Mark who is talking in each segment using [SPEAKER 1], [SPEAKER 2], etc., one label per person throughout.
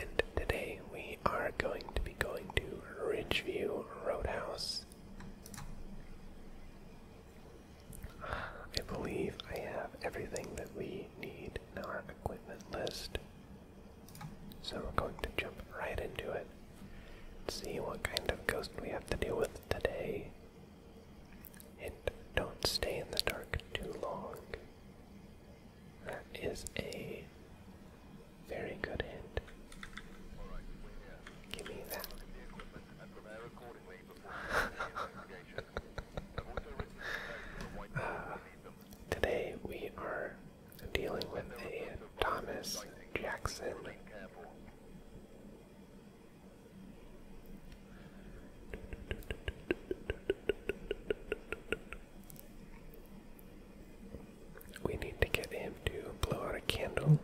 [SPEAKER 1] And today we are going to be going to Ridgeview Roadhouse. I believe I have everything that we need in our equipment list. So we're going to jump right into it. See what kind of ghost we have to deal with today. And don't stay in the dark too long. That is a very good hint. Give me that. Uh, today we are dealing with a Thomas Jackson we need to get him to blow out a candle,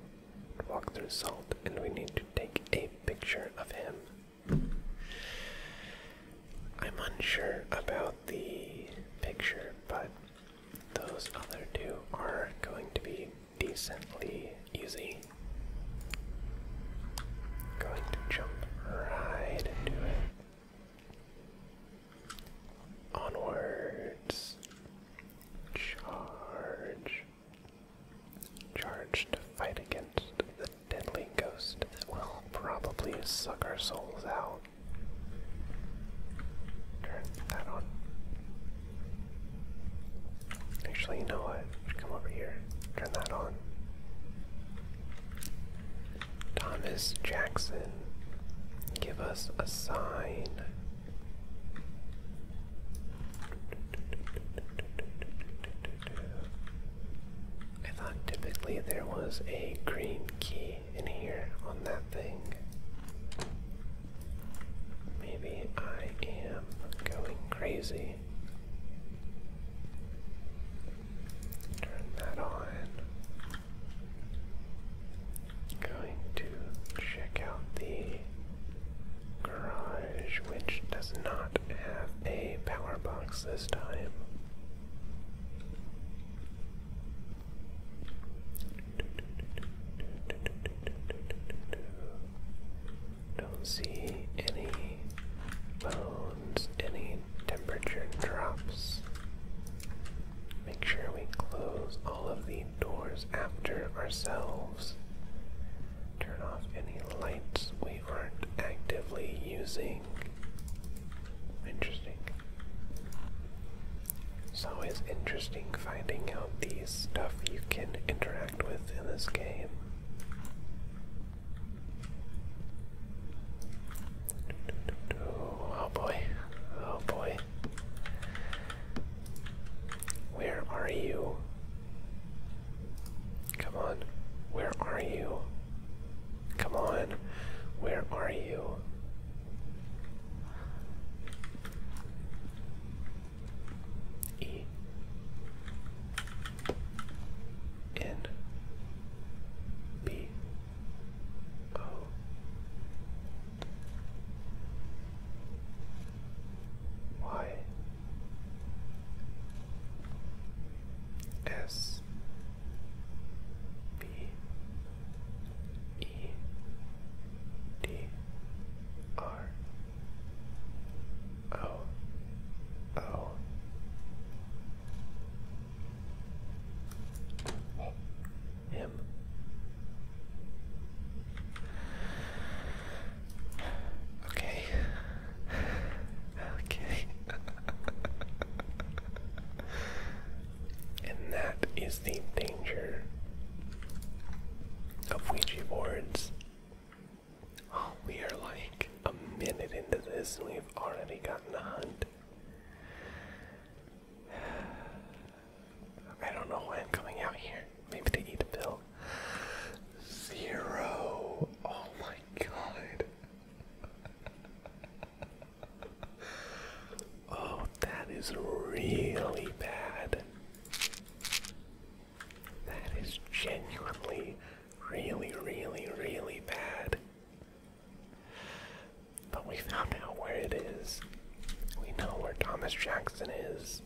[SPEAKER 1] walk through salt, and we need to take a picture of him. I'm unsure about the picture, but those other two are going to be decently easy. Going to jump right into it. Onwards. Charge. Charge to fight against the deadly ghost that will probably suck our souls out. Turn that on. Actually, you know what? Come over here. Turn that on. Thomas Jackson, give us a sign. I thought typically there was a green key in here on that thing. Maybe I am going crazy. Turn that on. Going to check out the garage, which does not have a power box this time. Don't see any bones, any temperature drops. Make sure we close all of the doors after ourselves. Turn off any lights we aren't actively using. Interesting. It's always interesting finding out these stuff you can interact in this game. Oh boy. Oh boy. Where are you? Come on. Where are you? Come on. Where are you? E. N B O Y S B E D R Oh. Oh. Him. Okay. Okay. and that is the danger of Ouija boards. Oh, we are like a minute into this and we've already gotten a hunt. I don't know why I'm coming out here. Maybe they eat a pill. Zero. Oh my god. oh, that is really bad. That is genuinely really, really, really bad. But we found out where it is. We know where Thomas Jackson is.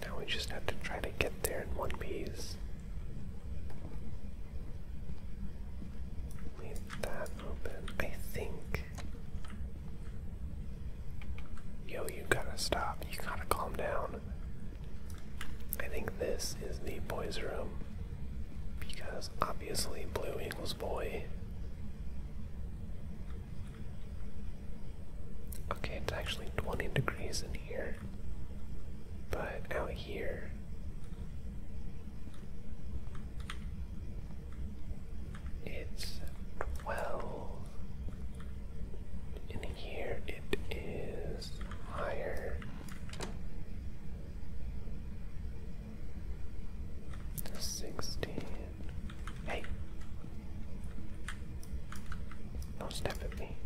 [SPEAKER 1] Now we just have to try to get there in one piece. Leave that open. I think Yo, you gotta stop. You gotta calm down. I think this is the boys' room. Because obviously, blue Eagle's boy. Okay, it's actually 20 degrees in here. But out here. It's 12. And here it is higher. Sixteen. Hey. Don't step at me.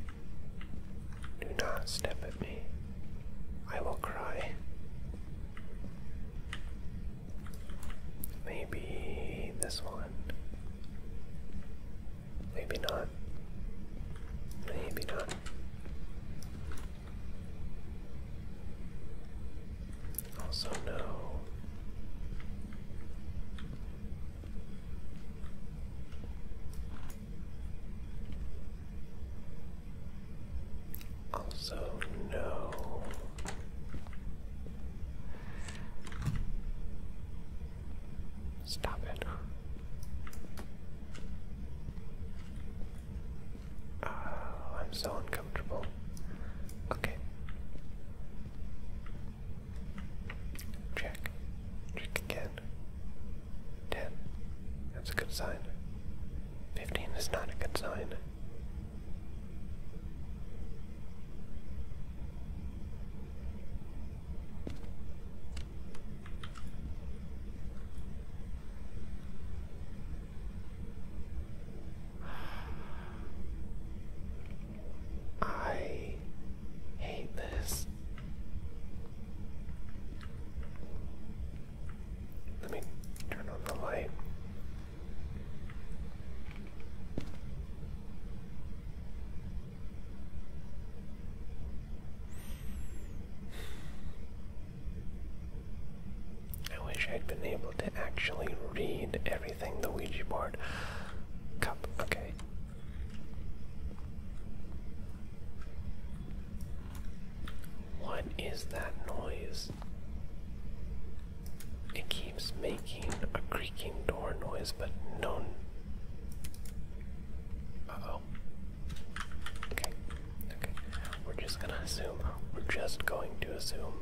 [SPEAKER 1] Do not step at me. I will cry. Maybe this one. Maybe not. Maybe not. Also, no. Also, no. Stop it. Oh, I'm so uncomfortable. Okay. Check. Check again. 10. That's a good sign. 15 is not a good sign. I hate this. Let me turn on the light. I wish I'd been able to actually read everything the Ouija board. Cup, okay. What is that noise? It keeps making a creaking door noise, but no. Uh oh. Okay. Okay. We're just gonna assume. We're just going to assume.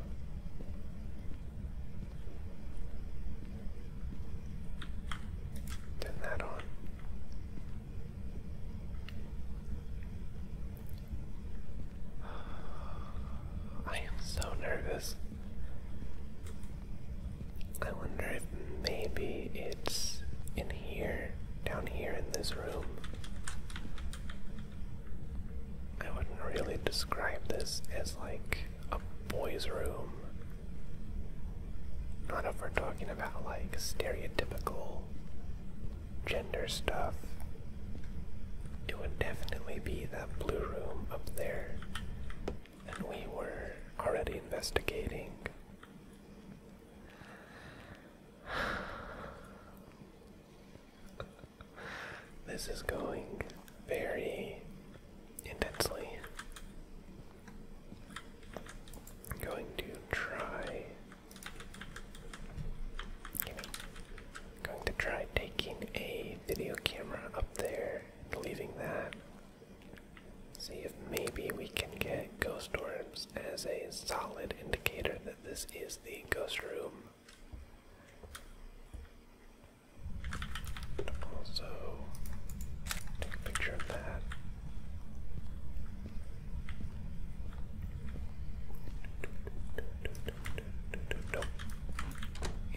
[SPEAKER 1] Turn that on. I am so nervous. I wonder if maybe it's in here, down here in this room. I wouldn't really describe this as like a boys' room. Not if we're talking about like stereotypical gender stuff. It would definitely be that blue room up there and we were already investigating. this is going very intensely. I'm going to try. Going to try taking a video camera up there and leaving that See if maybe we can get ghost orbs as a solid indicator that this is the ghost room. also, take a picture of that.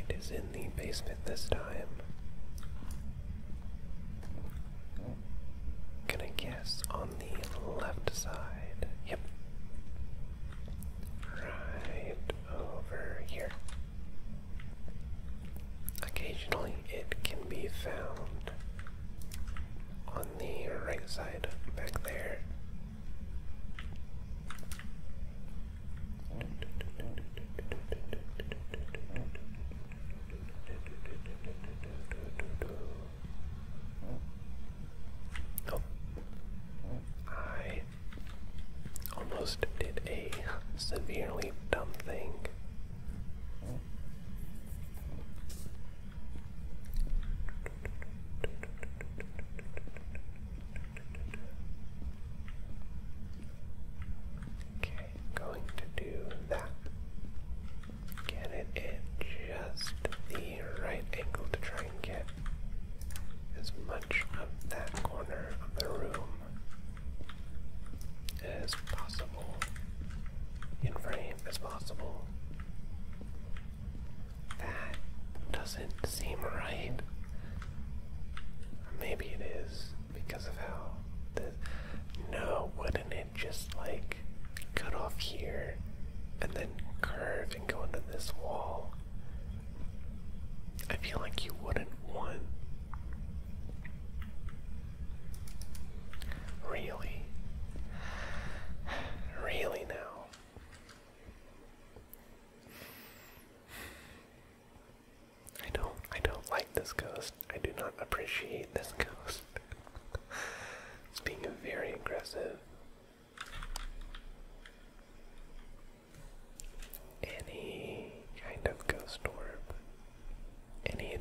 [SPEAKER 1] It is in in the basement this time. Can I guess on the left side? Yep. Right over here. Occasionally it can be found on the right side back there. Oh, I almost did a severely dumb thing. Okay, going to do that. Get it at just the right angle to try and get as much of that corner of the room as possible, in frame as possible. That doesn't seem right. Maybe it is because of how this. No, wouldn't it just like cut off here and then curve and go into this wall? I feel like you wouldn't want. Really? Really now? I don't I don't like this ghost. I do not appreciate this ghost. it's being very aggressive. Any kind of ghost orb. Any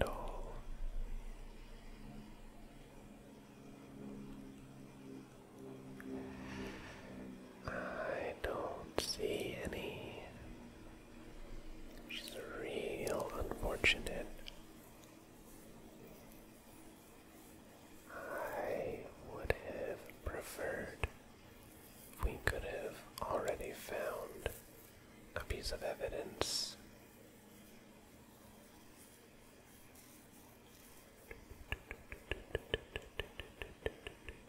[SPEAKER 1] I don't see any. She's real unfortunate. I would have preferred we could have already found a piece of evidence.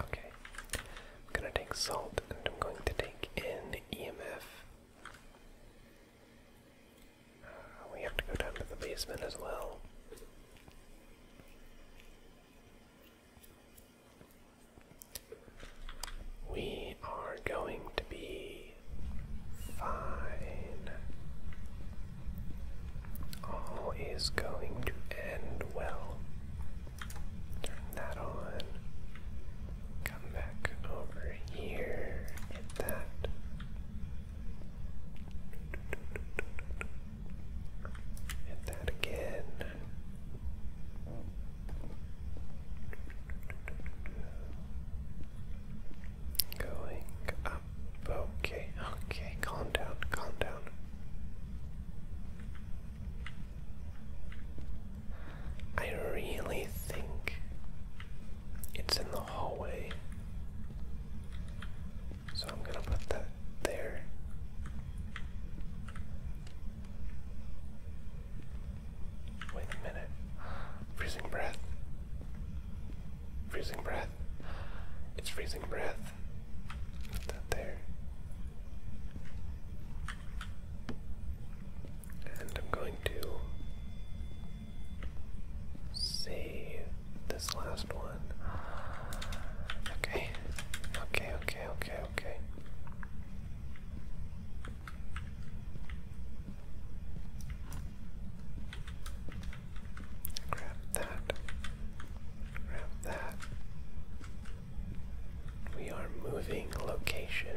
[SPEAKER 1] Okay, I'm gonna take salt and I'm going to take in EMF. Uh, we have to go down to the basement as well. We are going to be fine. All is going to end well. Turn that on. Come back over here. Hit that. Hit that again. Going okay, okay, calm down, calm down. I really think it's in the hallway. So I'm gonna put that there. Wait a minute. Freezing breath. Freezing breath. It's freezing breath. Put that there. And I'm going to save this last one. Okay, okay, okay, okay, okay. Grab that. Grab that. We are moving location.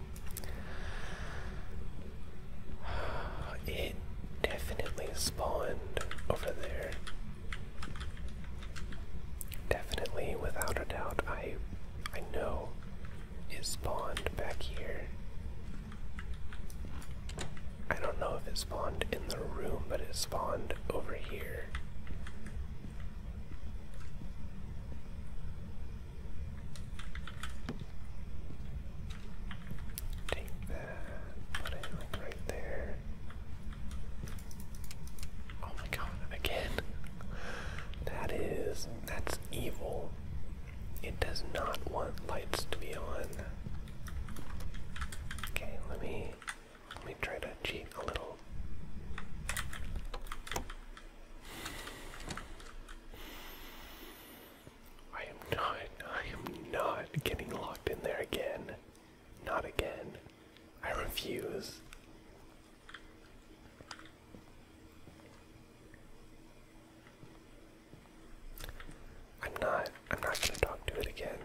[SPEAKER 1] It definitely spawned over there. Definitely, without a doubt, I I know it spawned back here. I don't know if it spawned in the room, but it spawned over here. Take that, put it like right there. Oh my god, again. That is, that's evil. It does not want lights to be on. Okay, let me, let me try to cheat a little. I am not, I am not getting locked in there again. Not again. I refuse. I'm not, I'm not gonna talk to it again.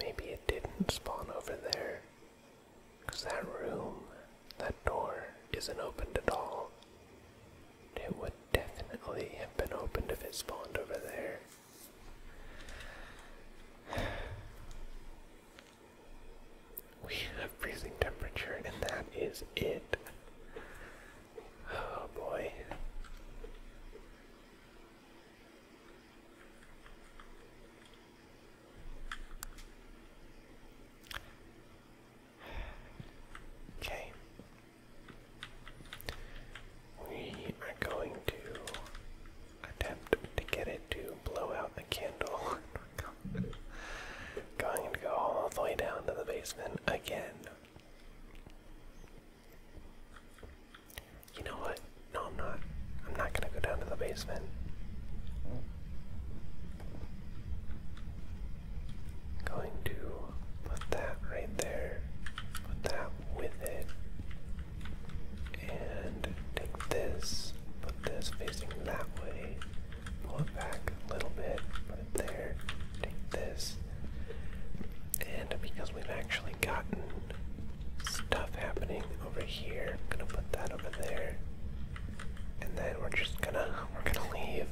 [SPEAKER 1] Maybe it didn't spawn over there. Because that room, that door, isn't opened at all. It would definitely have been opened if it spawned over there. We have freezing temperature, and that is it. Oh boy. Okay. We are going to attempt to get it to blow out the candle. going to go all the way down to the basement again. You know what? No, I'm not. I'm not gonna go down to the basement. Going to put that right there, put that with it, and take this, put this facing that way, pull it back a little bit, put it there, take this. And because we've actually gotten stuff happening over here. I'm gonna put that over there. And then we're just gonna we're gonna leave.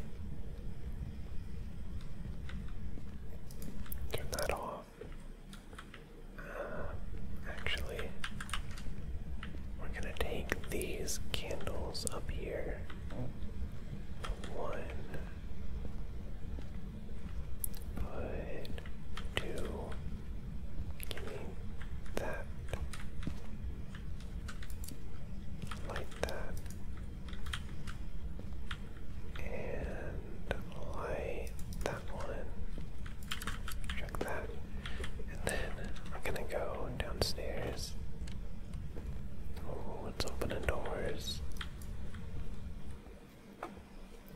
[SPEAKER 1] Turn that off. Um, actually, we're gonna take these candles up here. One, put two, Give me that. Like that. And light that one. Check that. And then I'm gonna go downstairs. Oh, let's open the doors.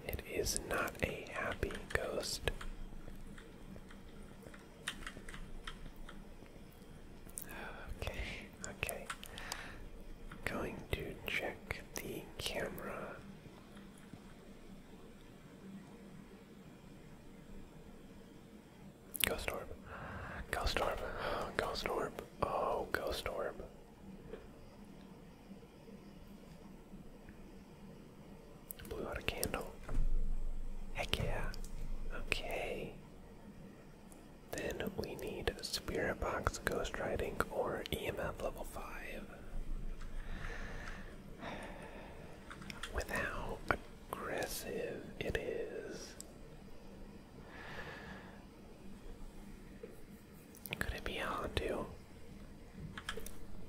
[SPEAKER 1] It is not a happy ghost. Okay, okay. Going to check the camera. Ghost orb. Ghost Oh, ghost Blew out candle. Heck yeah. Okay. Then we need Spirit Box, Ghost Writing or EMF level 5. With how aggressive it is. Could it be Hantu?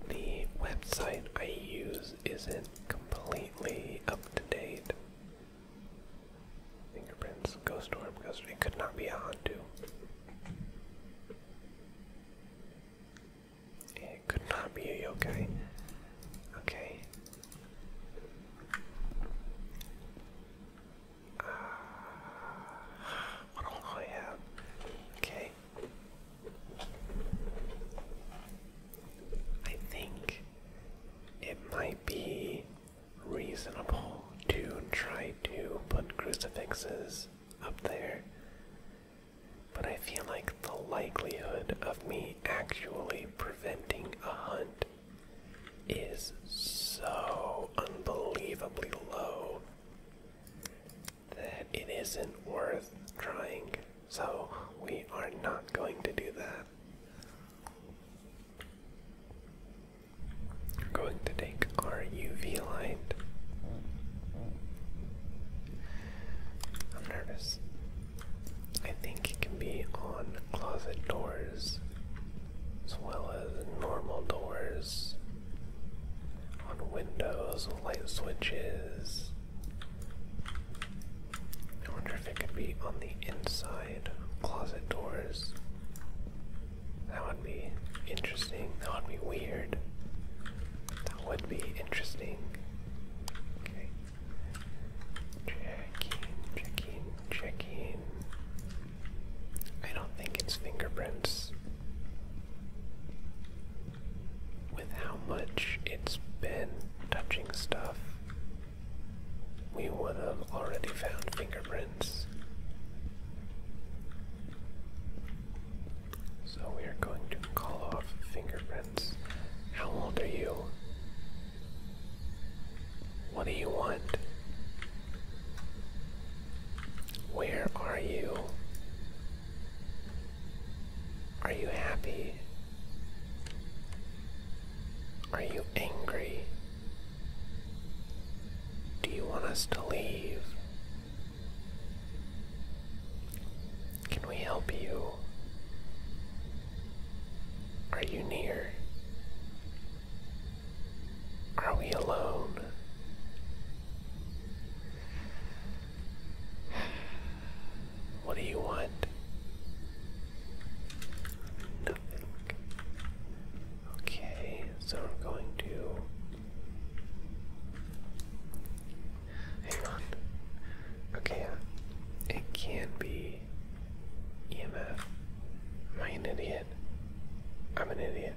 [SPEAKER 1] The website I use isn't completely up to date. Fingerprints, ghost orb, ghost orb. It could not be a Hantu. It could not be a yokai. Okay. Uh, Okay. I think it might be reasonable to try to put crucifixes up there, but I feel like the likelihood of me actually preventing a hunt is so unbelievably low that it isn't worth trying, so we are not going to do that. We're going to take our UV light. I'm nervous. I think it can be on closet doors as well as normal doors on windows, light switches. I wonder if it could be on the inside, closet doors. That would be interesting. That would be weird. That would be interesting. Okay. Checking, checking, checking. I don't think it's fingerprints with how much it's been touching stuff, we would have already found fingerprints. So we are going to call off fingerprints. How old are you? What do you want? Where are you? Are you happy? Are you angry? Do you want us to leave? Can we help you? Are you near? Are we alone? What do you want? Nothing. Okay, so I'm going to hang on. Okay, uh, it can not be EMF. Am I an idiot? I'm an idiot.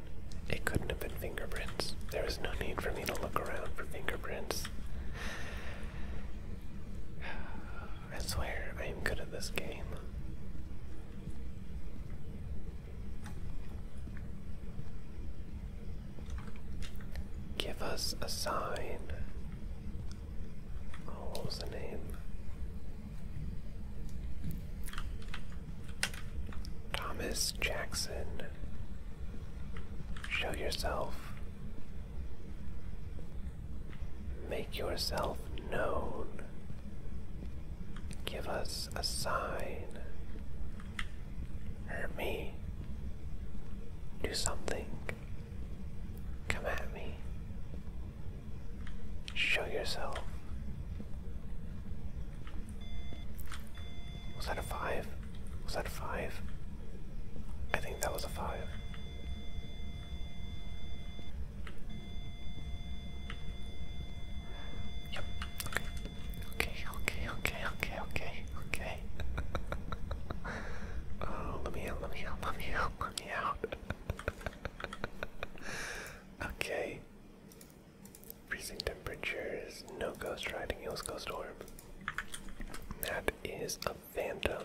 [SPEAKER 1] It could not going fingerprints. There was no need for me to look around for fingerprints. I swear I am good at this game. Give us a sign. Oh, what was the name? Thomas Jackson. Show yourself. Make yourself known. Give us a sign. Hurt me. Do something. Come at me. Show yourself. Was that a five? Was that a five? I think that was a five. Yep. Okay, okay, okay, okay, okay, okay. Uh, let me out, let me out, let me out, let me out. okay. Freezing temperatures, no ghost riding, heals ghost storm. That is a phantom.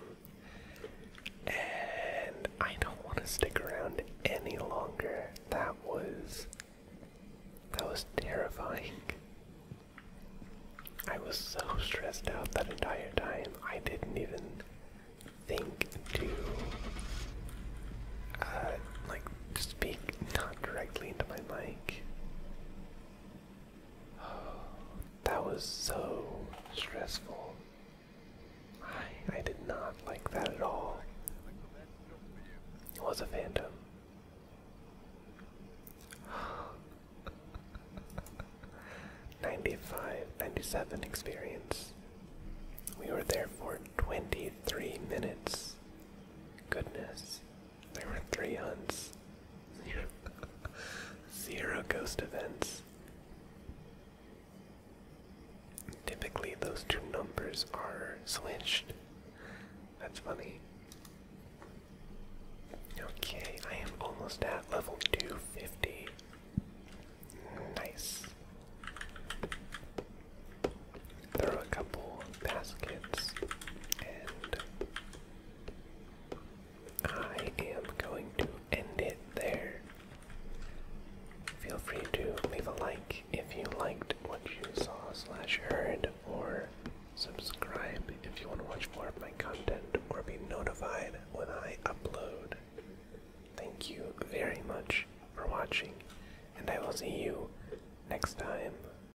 [SPEAKER 1] And I don't want to stick around any longer. That was that was terrifying. I was so stressed out that entire time. I didn't even think to uh, like speak not directly into my mic that was so stressful. I, I did not like that at all. It was a phantom. Ninety-five, ninety-seven experience. We were there for twenty-three minutes. Goodness. There were three hunts. Zero ghost events. Typically, those two numbers are switched. That's funny. Okay, I am almost at level 250. Nice throw a couple baskets, and I am going to end it there. Feel free to leave a like if you liked what you saw slash heard, or subscribe if you want to watch more of my content or be notified when I upload. Thank you very much for watching, and I will see you next time.